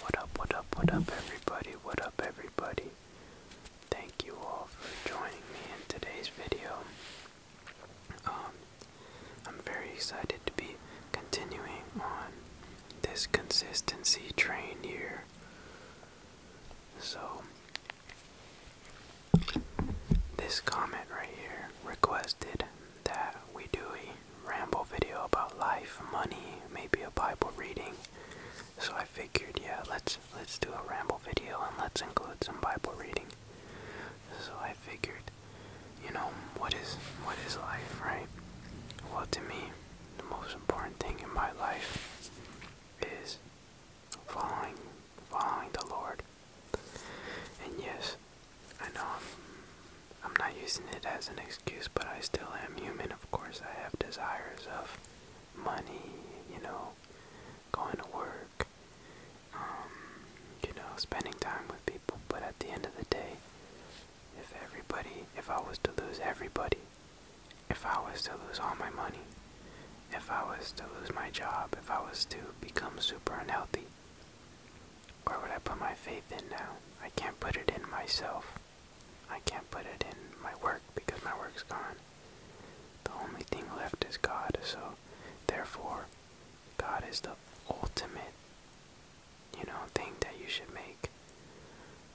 What up, what up, what up, everybody? What up, everybody? Thank you all for joining me in today's video. Um, I'm very excited to be continuing on this consistency train here. So, this comment right here requested that we do it ramble video about life, money, maybe a Bible reading. So I figured, yeah, let's let's do a ramble video and let's include some Bible reading. So I figured, you know, what is what is life, right? Well, to me, the most important thing in my life is following following the Lord. And yes, I know I'm, I'm not using it as an excuse, but I still am human, of course. I have desires of money, you know, going to work, um, you know, spending time with people. But at the end of the day, if everybody, if I was to lose everybody, if I was to lose all my money, if I was to lose my job, if I was to become super unhealthy, where would I put my faith in now? I can't put it in myself. I can't put it in my work because my work's gone. The only thing left is God, so therefore, God is the ultimate, you know, thing that you should make.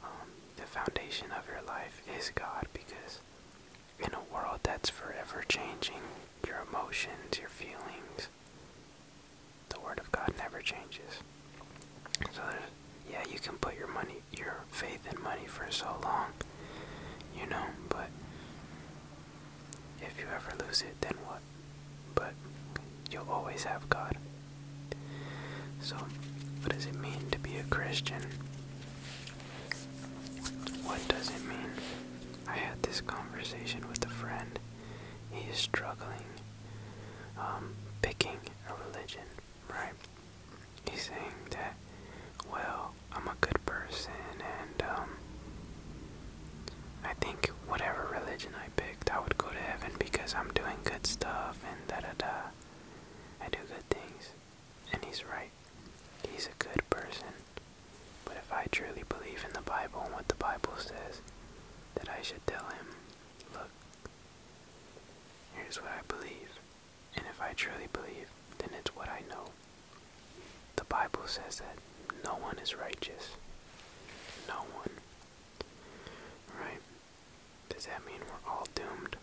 Um, the foundation of your life is God because in a world that's forever changing, your emotions, your feelings, the word of God never changes. So there's, yeah, you can put your money, your faith in money for so long, you know, but if you ever lose it, then what? But you'll always have God. So, what does it mean to be a Christian? What does it mean? I had this conversation with a friend. He is struggling um, picking a religion, right? He's saying that, well, I'm a good person, and um, I think whatever religion I picked, I would go to heaven because I'm doing good stuff, and da da da. I do good things. And he's right. He's a good person. But if I truly believe in the Bible and what the Bible says, that I should tell him, look, Here's what I believe, and if I truly believe, then it's what I know. The Bible says that no one is righteous. No one. Right? Does that mean we're all doomed?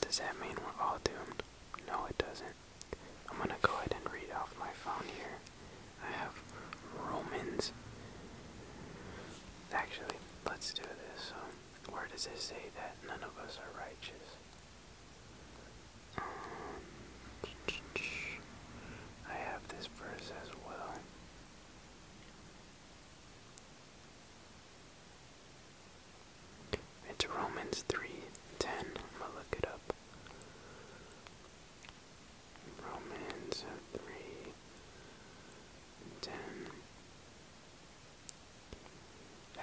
Does that mean we're all doomed? No, it doesn't. I'm gonna go ahead and read off my phone here. I have Romans. Actually, let's do this. Um, where does it say that none of us are righteous? I have this verse as well. It's Romans 3:10. i look it up. Romans three ten,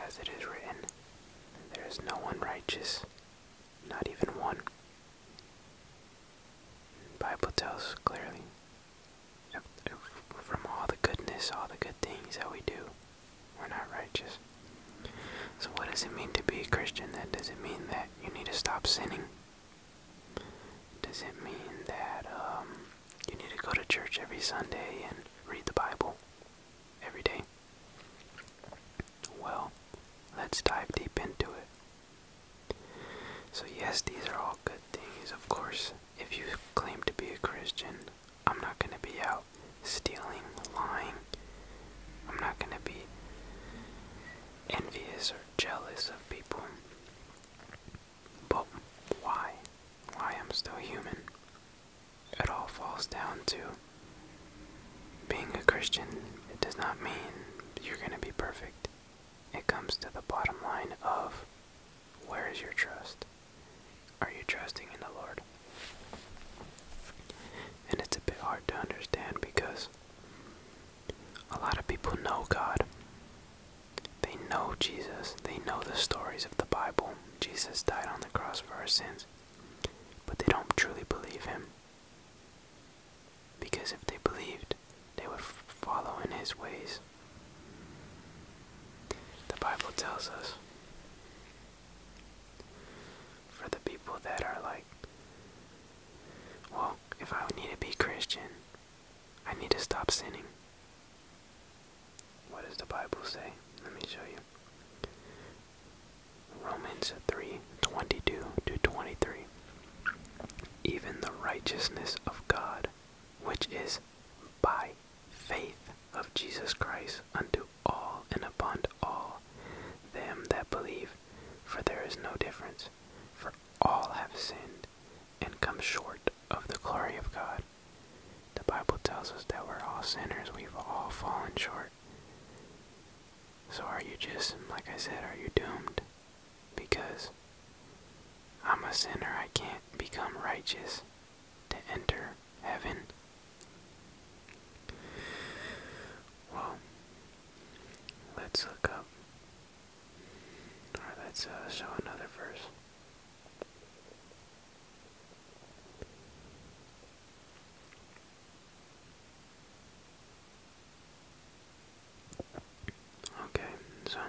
As it is written, there is no one righteous, not even one. Bible tells clearly from all the goodness, all the good things that we do, we're not righteous. So, what does it mean to be a Christian? That does not mean that you need to stop sinning? Does it mean that um, you need to go to church every Sunday and read the Bible every day? Well, let's dive deep into it. So, yes, these are all good things, of course. If you claim to be a Christian, I'm not going to be out stealing, lying. I'm not going to be envious or jealous of people. But why? Why I'm still human? It all falls down to being a Christian, it does not mean you're going to be perfect. It comes to the bottom line of where is your trust? Are you trusting in the Lord? And it's a bit hard to understand because a lot of people know God. They know Jesus. They know the stories of the Bible. Jesus died on the cross for our sins. But they don't truly believe him. Because if they believed, they would follow in his ways. The Bible tells us for the people that are like, well, if I need to be Christian, I need to stop sinning. What does the Bible say? Let me show you. Romans 3 22 to 23. Even the righteousness of God, which is by faith of Jesus Christ unto all and upon all them that believe, for there is no difference, for all have sinned and come short of the glory of God. The Bible tells us that we're all sinners, we've all fallen short. So are you just, like I said, are you doomed? Because I'm a sinner, I can't become righteous to enter heaven. Well, let's look up Alright, let's uh, show another verse. Okay, so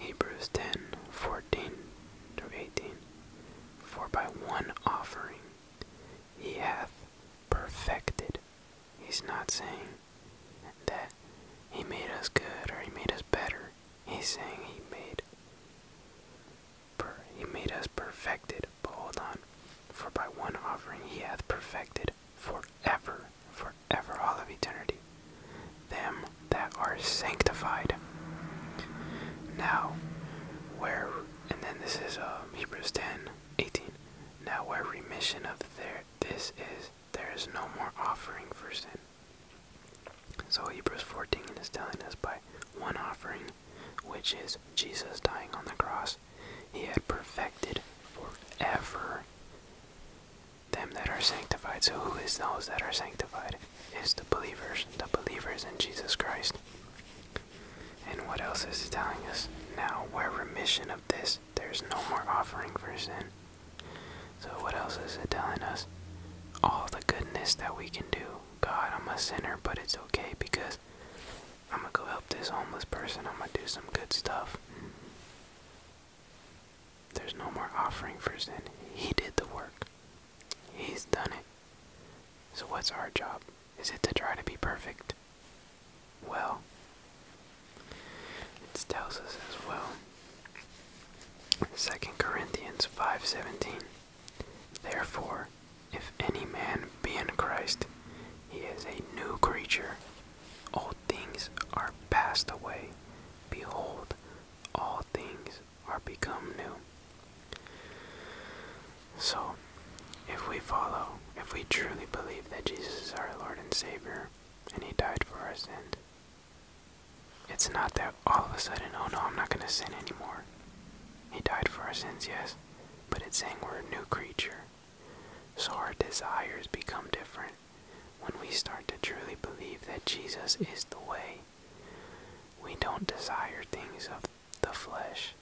Hebrews ten, fourteen through eighteen. For by one offering he hath perfected. He's not saying that he made us good or he made us better. He's saying he made he made us perfected. hold on. For by one offering he hath perfected forever, forever all of eternity. Them that are sanctified. Now, where and then this is um, Hebrews 10 18. Now, where remission of their, this is, there is no more offering for sin. So, Hebrews 14 is telling us by one offering, which is Jesus dying on the cross, he had perfected forever them that are sanctified. So, who is those that are sanctified? is the believers, the believers in Jesus Christ. And what else is he telling us? Now, We're remission of this, there's no more offering for sin. So, what else is it telling us? All the goodness that we can do. God, I'm a sinner, but it's okay because I'm gonna go help this homeless person. I'm gonna do some good stuff. There's no more offering for sin. He did the work, He's done it. So, what's our job? Is it to try to be perfect? Well, it tells us as well. Second Corinthians 5:17 Therefore, if any man be in Christ, he is a new creature. Old things are passed away; behold, all things are become new. So, if we follow, if we truly believe that Jesus is our Lord and Savior, and He died for our sins, it's not that all of a sudden, oh no, I'm not going to sin anymore. He died for our sins, yes, but it's saying we're a new creature. So our desires become different when we start to truly believe that Jesus is the way. We don't desire things of the flesh.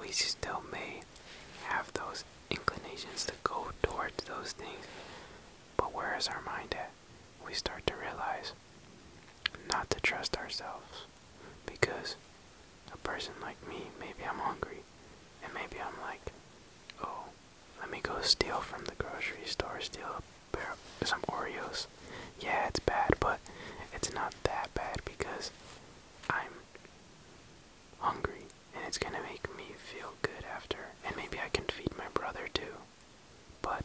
We still may have those inclinations to go towards those things, but where is our mind at? We start to realize not to trust ourselves because a person like me, maybe I'm hungry, and maybe I'm like, oh, let me go steal from the grocery store, steal a pair of, some Oreos. Yeah, it's bad, but it's not that bad because I'm hungry and it's gonna make me feel good after. And maybe I can feed my brother too. But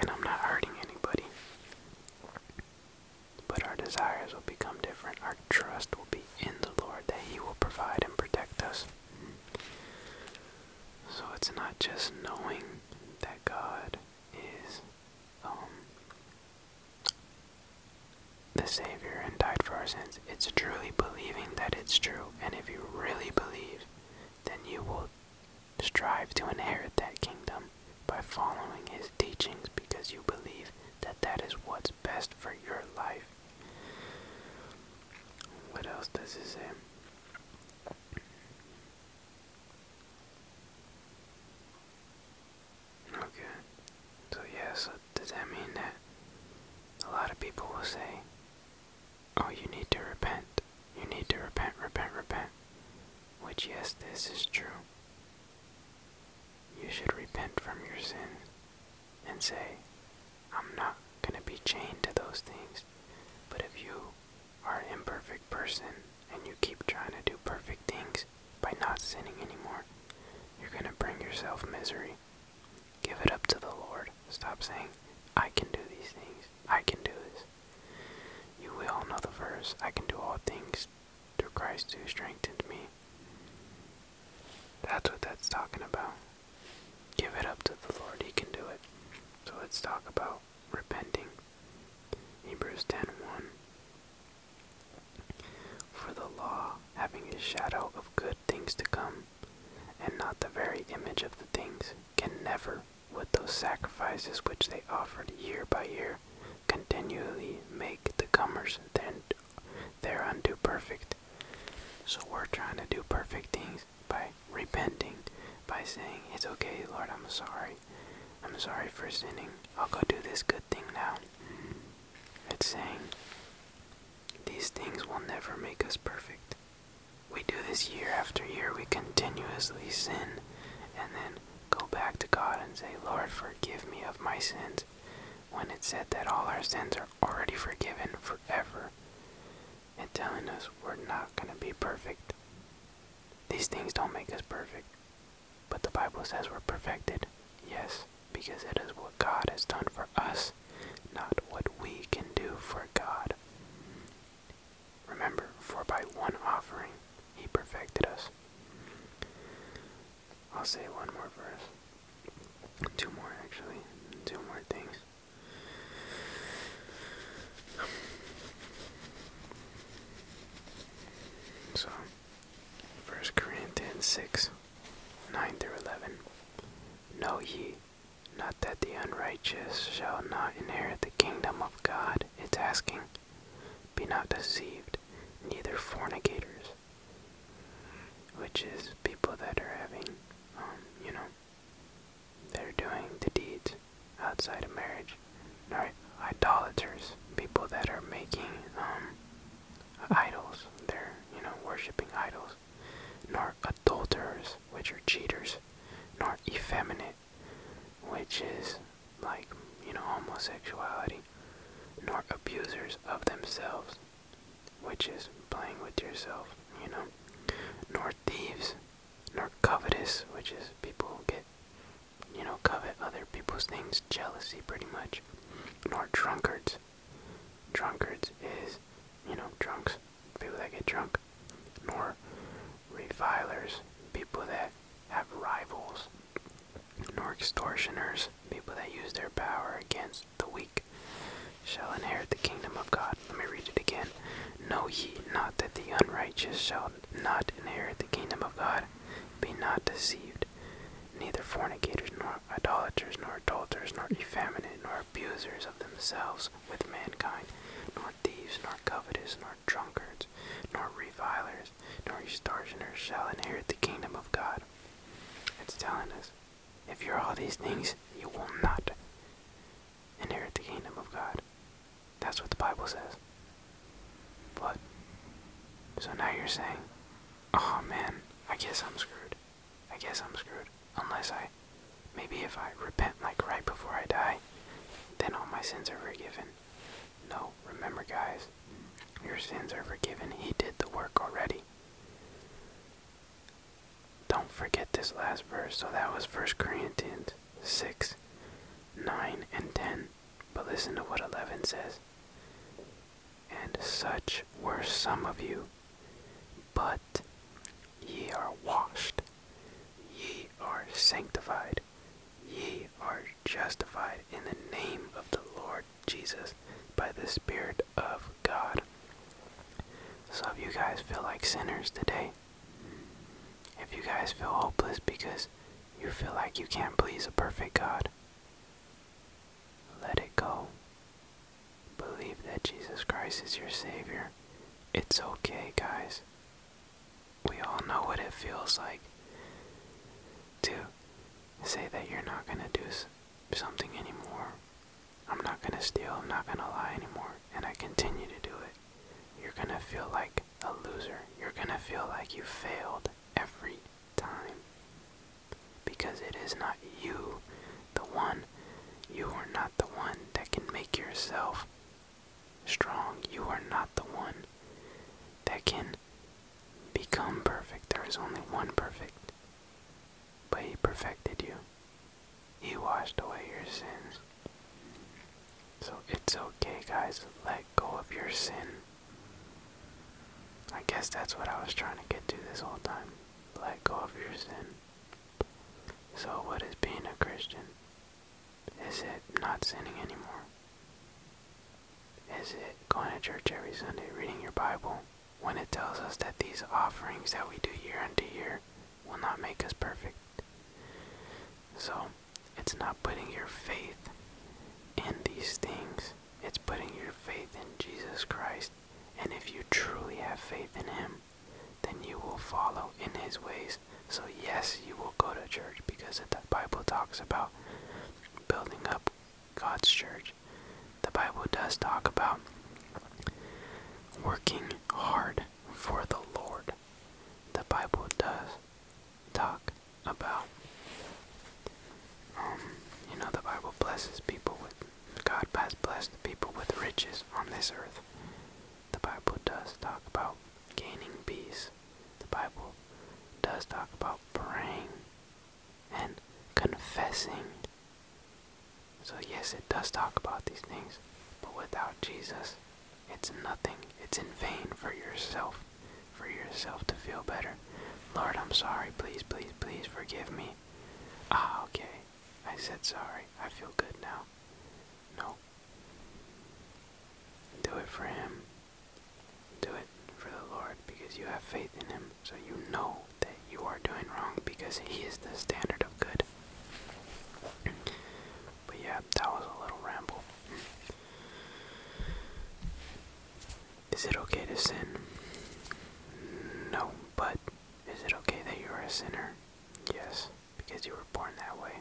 and I'm not hurting anybody. But our desires will become different. Our trust will be in the Lord that He will provide and protect us. So it's not just knowing that God is um, the Savior and died for our sins. It's truly believing that it's true. And if you really believe, then you will strive to inherit that kingdom by following His teachings because you believe that that is what's best for your life. What else does it say? Okay. So yeah, does that mean that a lot of people will say, Oh, you need to repent. You need to repent, repent, repent. Which yes, this is true. You should repent from your sin and say, I'm not gonna be chained to those things. But if you are an imperfect person and you keep trying to do perfect things by not sinning anymore, you're going to bring yourself misery. Give it up to the Lord. Stop saying, I can do these things. I can do this. You will know the verse, I can do all things through Christ who strengthened me. That's what that's talking about. Give it up to the Lord. He can do it. So let's talk about repenting. Hebrews 10:1 For the law, having a shadow of good things to come, and not the very image of the things, can never, with those sacrifices which they offered year by year, continually make the comers thereunto perfect. So we're trying to do perfect things by repenting by saying, It's okay, Lord, I'm sorry. I'm sorry for sinning. I'll go do this good thing now. It's saying, These things will never make us perfect. We do this year after year. We continuously sin and then go back to God and say, Lord, forgive me of my sins. When it's said that all our sins are already forgiven forever, and telling us we're not going to be perfect. These things don't make us perfect, but the Bible says we're perfected, yes, because it is what God has done for us, not what we can do for God. Remember, for by one offering he perfected us. I'll say one more verse. Two more, actually. Two more things. So, First Corinthians 6 9 through 11. Know ye not that the unrighteous shall not inherit the kingdom of God? It's asking, Be not deceived, neither fornicators, which is people that are having, um, you know, they're doing the deeds outside of marriage. Right? Idolaters, people that are making um, idols. They're, you know, worshiping idols. Nor adulterers, which are cheaters. Nor effeminate, which is like, you know, homosexuality. Nor abusers of themselves, which is playing with yourself, you know. Nor thieves, nor covetous, which is people who get, you know, covet other people's things, jealousy pretty much, nor drunkards. Drunkards is, you know, drunks, people that get drunk, nor revilers, people that have rivals, nor extortioners, people that use their power against the weak, shall inherit the kingdom of God. Let me read it again. Know ye not that the unrighteous shall not inherit the kingdom of God. Be not deceived. Neither fornicators, nor idolaters, nor adulterers, nor effeminate, nor abusers of themselves with mankind, nor thieves, nor covetous, nor drunkards, nor revilers, nor extortioners shall inherit the kingdom of God. It's telling us if you're all these things, you will not inherit the kingdom of God. That's what the Bible says. But, so now you're saying, oh man, I guess I'm screwed. I guess I'm screwed. Unless I, maybe if I repent like right before I die, then all my sins are forgiven. No, remember guys, your sins are forgiven. He did the work already. Don't forget this last verse. So that was First Corinthians 6, 9, and 10. But listen to what 11 says. And such were some of you, but ye are washed, ye are sanctified, ye are justified in the name of the Lord Jesus by the Spirit of God. Some of you guys feel like sinners today. If you guys feel hopeless because you feel like you can't please a perfect God, let it go. Believe that Jesus Christ is your Savior. It's okay, guys. We all know what it feels like to say that you're not going to do something anymore. I'm not going to steal, I'm not going to lie anymore, and I continue to do it. You're going to feel like a loser. You're gonna feel like you failed every time. Because it is not you, the one. You are not the one that can make yourself strong. You are not the one that can become perfect. There is only one perfect. But he perfected you. He washed away your sins. So it's okay, guys. Let go of your sin. I guess that's what I was trying to get to this whole time. Let go of your sin. So, what is being a Christian? Is it not sinning anymore? Is it going to church every Sunday, reading your Bible, when it tells us that these offerings that we do year unto year will not make us perfect? So, it's not putting your faith in these things, it's putting your faith in Jesus Christ. And if you truly have faith in Him, then you will follow in His ways. So, yes, you will go to church because the Bible talks about building up God's church. The Bible does talk about working hard for the Lord the Bible does talk about. Um, you know, the Bible blesses people with, God has blessed people with riches on this earth. The Bible does talk about gaining peace. The Bible does talk about praying and confessing. So, yes, it does talk about these things, but without Jesus, it's nothing. It's in vain for yourself, for yourself to feel better. Lord, I'm sorry. Please, please, please forgive me. Ah, okay. I said sorry. I feel good now. No. Do it for Him. Do it for the Lord because you have faith in Him. So you know that you are doing wrong because He is the standard of good. But yeah, that was a little ramble. Is it okay to sin? No, but is it okay that you are a sinner? Yes, because you were born that way.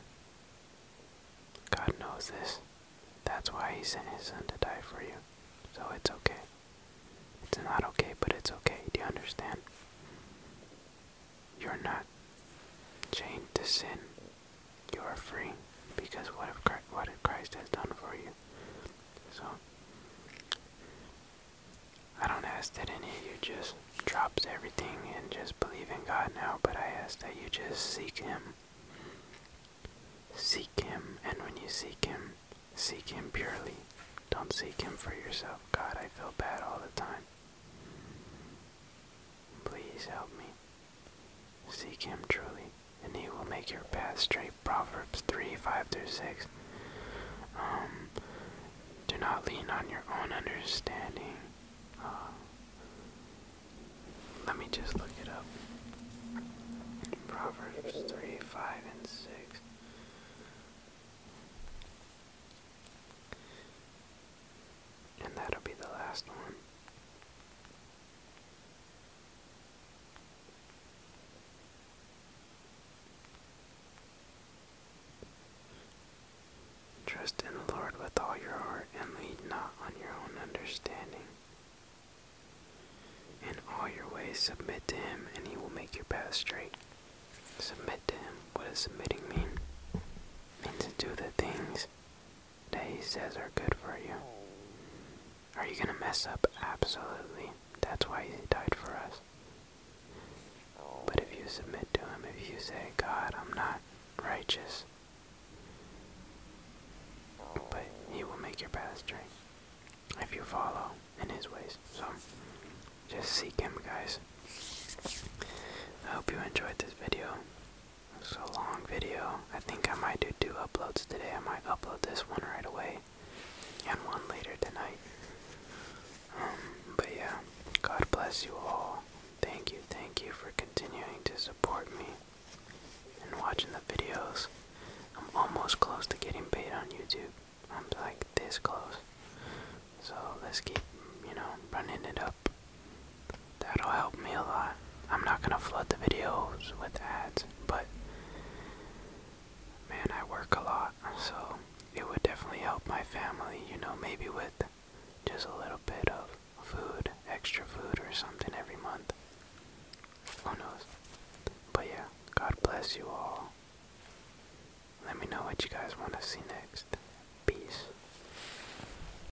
God knows this. That's why He sent His Son to die for you. So it's okay. It's not okay, but it's okay. Do you understand? You're not chained to sin you are free because what if Christ, Christ has done for you? So I don't ask that any of you just drops everything and just believe in God now, but I ask that you just seek Him. Seek Him, and when you seek Him, seek Him purely. Don't seek Him for yourself. God, I feel bad all the time. Please help me. Seek him truly, and he will make your path straight. Proverbs 3 5 through 6. Um, do not lean on your own understanding. Uh, let me just look it up. Proverbs 3 5 and 6. And that'll be the last one. Trust in the Lord with all your heart and lean not on your own understanding. In all your ways submit to him and he will make your path straight. Submit to him. What does submitting mean? It means to do the things that he says are good for you. Are you going to mess up? Absolutely. That's why he died for us. But if you submit to him, if you say, God, I'm not righteous, but he will make your path straight if you follow in his ways. So just seek him, guys. I hope you enjoyed this video. It's a long video. I think I might do two uploads today. I might upload this one right away and one later tonight. Um, but yeah, God bless you all. Thank you, thank you for continuing to support me and watching the videos. I'm almost close to getting paid on YouTube. I'm like this close. So let's keep, you know, running it up. That'll help me a lot. I'm not gonna flood the videos with ads, but man, I work a lot, so it would definitely help my family, you know, maybe with just a little bit of food, extra food or something every month. Who knows? But yeah, God bless you all. Let me know what you guys want to see next. Peace.